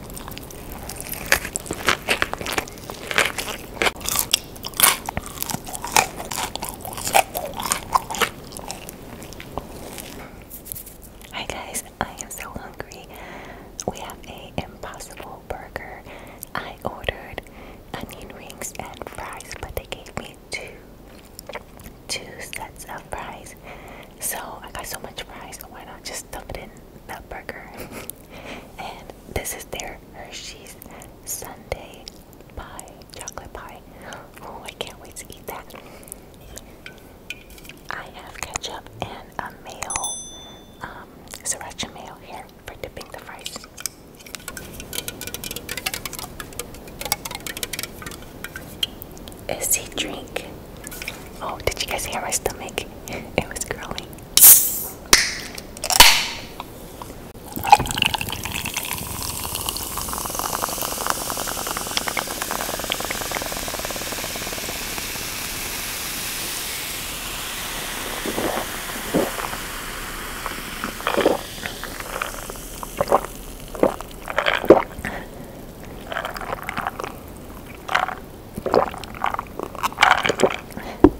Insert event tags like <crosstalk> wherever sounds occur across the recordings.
Hi guys, I am so hungry. We have a impossible burger. I ordered onion rings and fries, but they gave me two two sets of fries so I got so much fries, so why not just dump it in that burger? <laughs> and this is their Hershey's Sunday pie, chocolate pie. Oh, I can't wait to eat that. I have ketchup and a mayo, um, sriracha mayo here for dipping the fries is he drink? Oh, did you guys hear my stomach? <laughs> It was growling.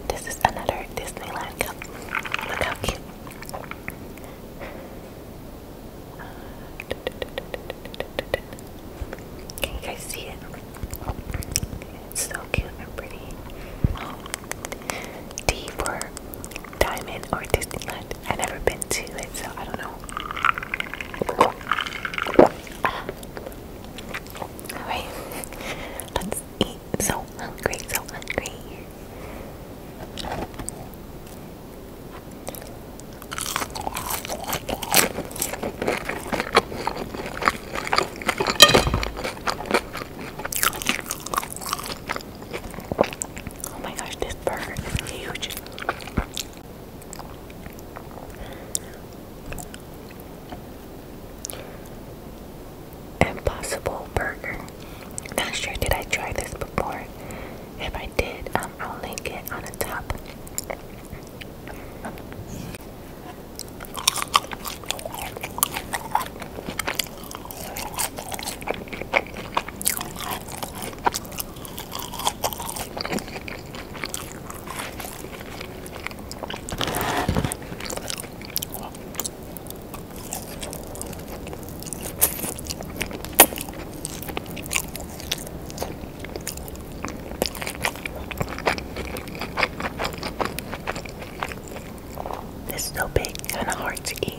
This is another Disneyland cup. Look how cute. Can you guys see it? It's so cute and pretty. D for Diamond or Disneyland. i never been to it, so I don't know Alright, let's eat. So hungry, so hungry. Oh my gosh, this bird is huge. Impossible Burger. Not sure did I try this before. If I did, um, I'll link it on the top. This is so big, kind of hard to eat.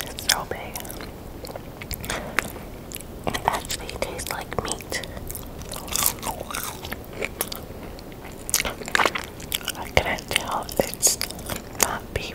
it's so big. It actually tastes like meat. I could tell it's not beef.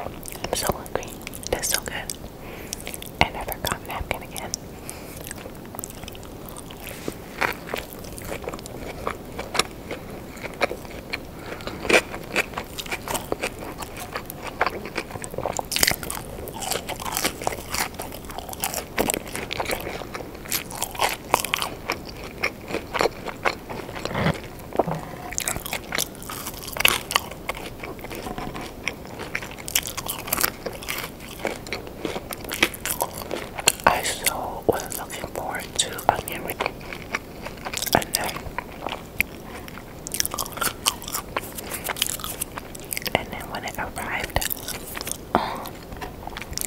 I'm so hungry. That's so good. And I forgot napkin again. I so was looking forward to onion ring, and then and then when it arrived, um,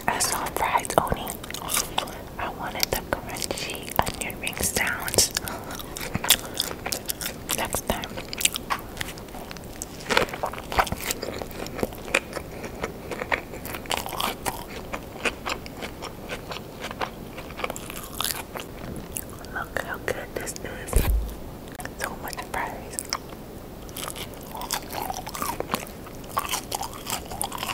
I saw fries only. I wanted the crunchy onion ring sounds <laughs> next time. Look how good this is. So much fries.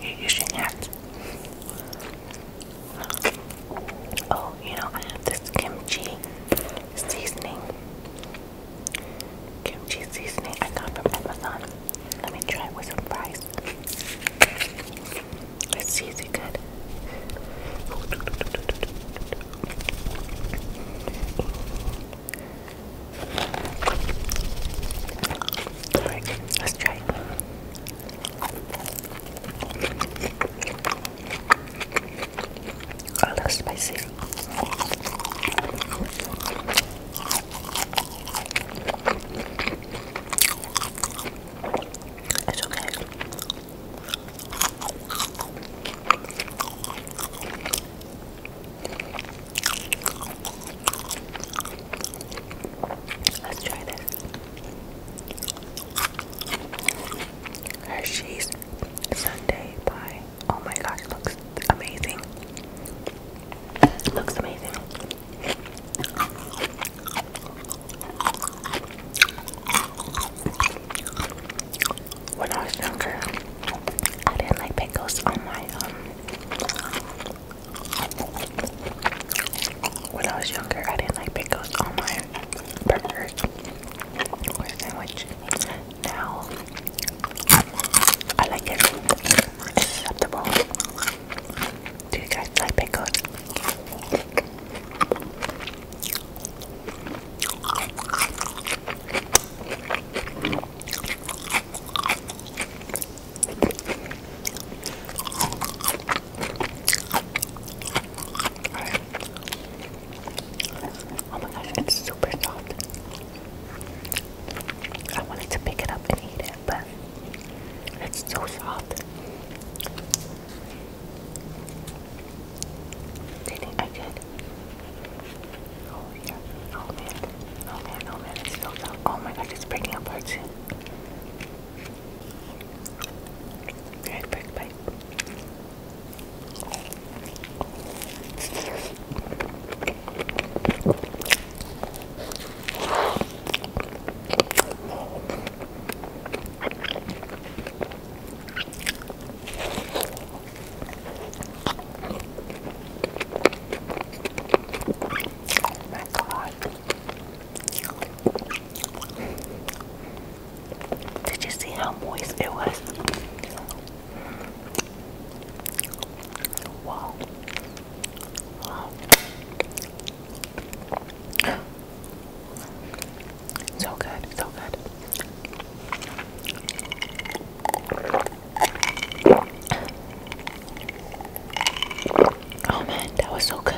You're using Oh, you know, this kimchi seasoning. Kimchi seasoning I got from Amazon. Let me try it with some fries. It's easy good. Alright, let's try A little spicy. It's okay. Let's try this. Hershey's Sunday pie. Oh my gosh, it looks amazing. looks amazing. When I was younger, I didn't like pickles on my um when I was younger, I didn't like pickles on my burgers or sandwich. Now, I like it. It's acceptable. Do you guys like pickles? Oh my gosh, it's super soft. I wanted to pick it up and eat it, but it's so soft. I could Oh yeah. Oh man. Oh man. Oh man. It's filled Oh my god, it's breaking apart soon. Alright, break pipe. Oh my god. Did you see how moist it was? wow. So good, so good. Oh man, that was so good.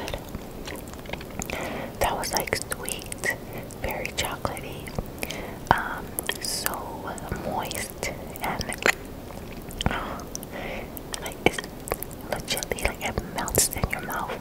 That was like sweet, very chocolatey, um, so moist, and like it's like it melts in your mouth.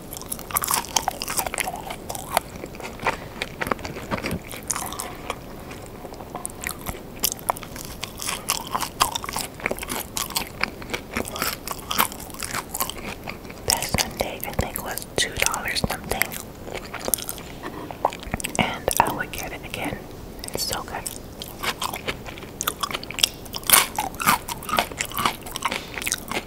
That Sunday I think was two dollars something, and I would get it again. It's so good.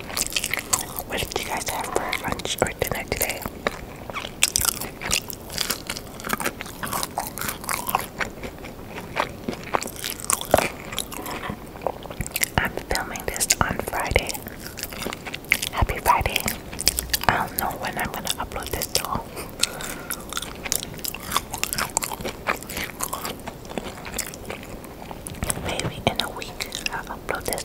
What did you guys have for lunch or dinner today? I'm filming this on Friday. Happy Friday. I don't know when I'm gonna upload this though. Maybe in a week I'll upload this.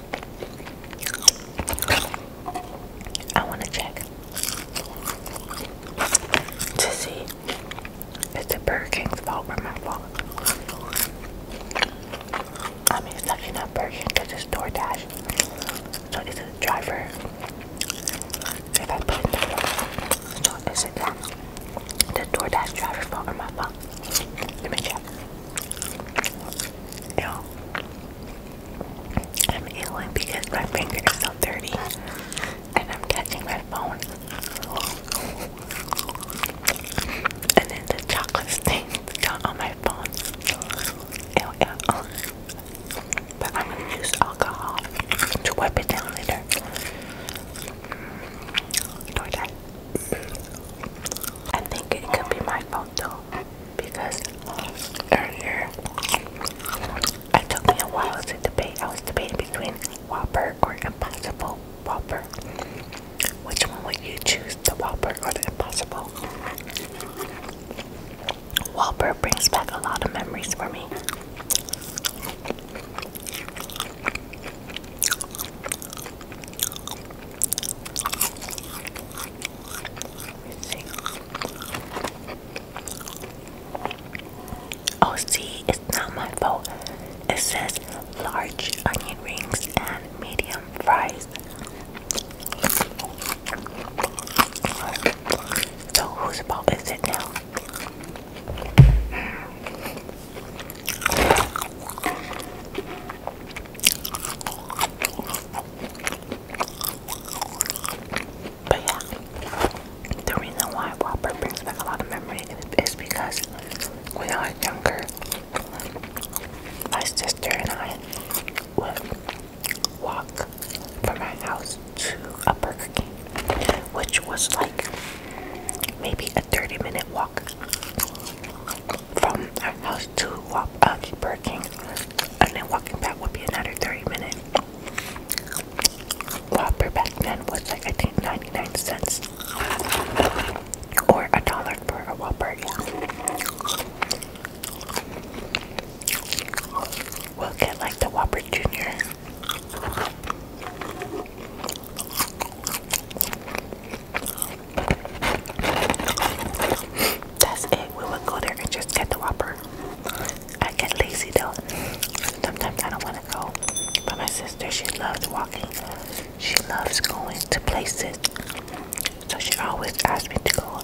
I want to check to see if the Burger King's fault or my fault. I mean, it's not actually a Burger King because it's DoorDash. So it's it the driver? If I put it down, so is it the DoorDash driver's fault or my fault? Let me check. Yo, I'm ailing because my finger is so dirty and I'm touching my phone. And then the chocolate stains got on my phone. But I'm gonna use alcohol to wipe it down later. I think it could be my fault out because earlier it took me a while to debate. I was debating between Whopper or Impossible Whopper. Which one would you choose, the Whopper or the Impossible? Whopper brings back a lot of memories for me. Oh, see, it's not my fault. It says large onion rings and medium fries. So, whose fault is it now? But yeah, the reason why Whopper brings back a lot of memories is because when I was younger, my sister and I would walk from my house to a Burger King, which was like maybe a 30 minute walk from our house to walk, uh, Burger King, and then walking back would be another 30 minutes. Whopper back then was like I think 99 cents or a dollar for a Whopper. Yeah. We'll get like the Whopper Junior. That's it. We would go there and just get the Whopper. I get lazy though. Sometimes I don't want to go. But my sister, she loves walking. She loves going to places. So she always asks me to go.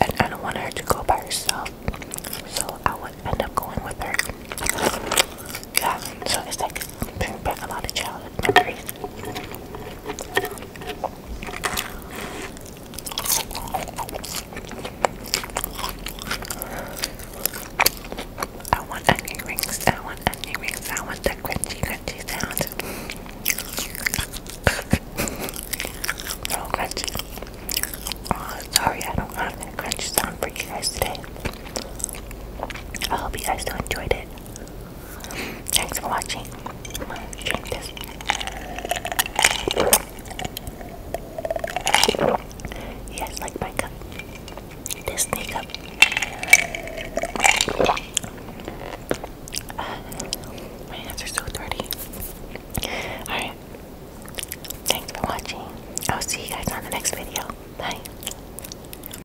And I don't want her to go by herself. So I would end up going with her. Yeah, so it's like bring back a lot of child I want onion rings. I want onion rings. I want the crunchy, crunchy sound. so oh, crunchy. Oh, sorry, I don't have that crunchy sound for you guys today. I hope you guys enjoyed it. Thanks for watching. Drink this. Yes, like my cup. This snake uh, my hands are so dirty. Alright. Thanks for watching. I'll see you guys on the next video. Bye.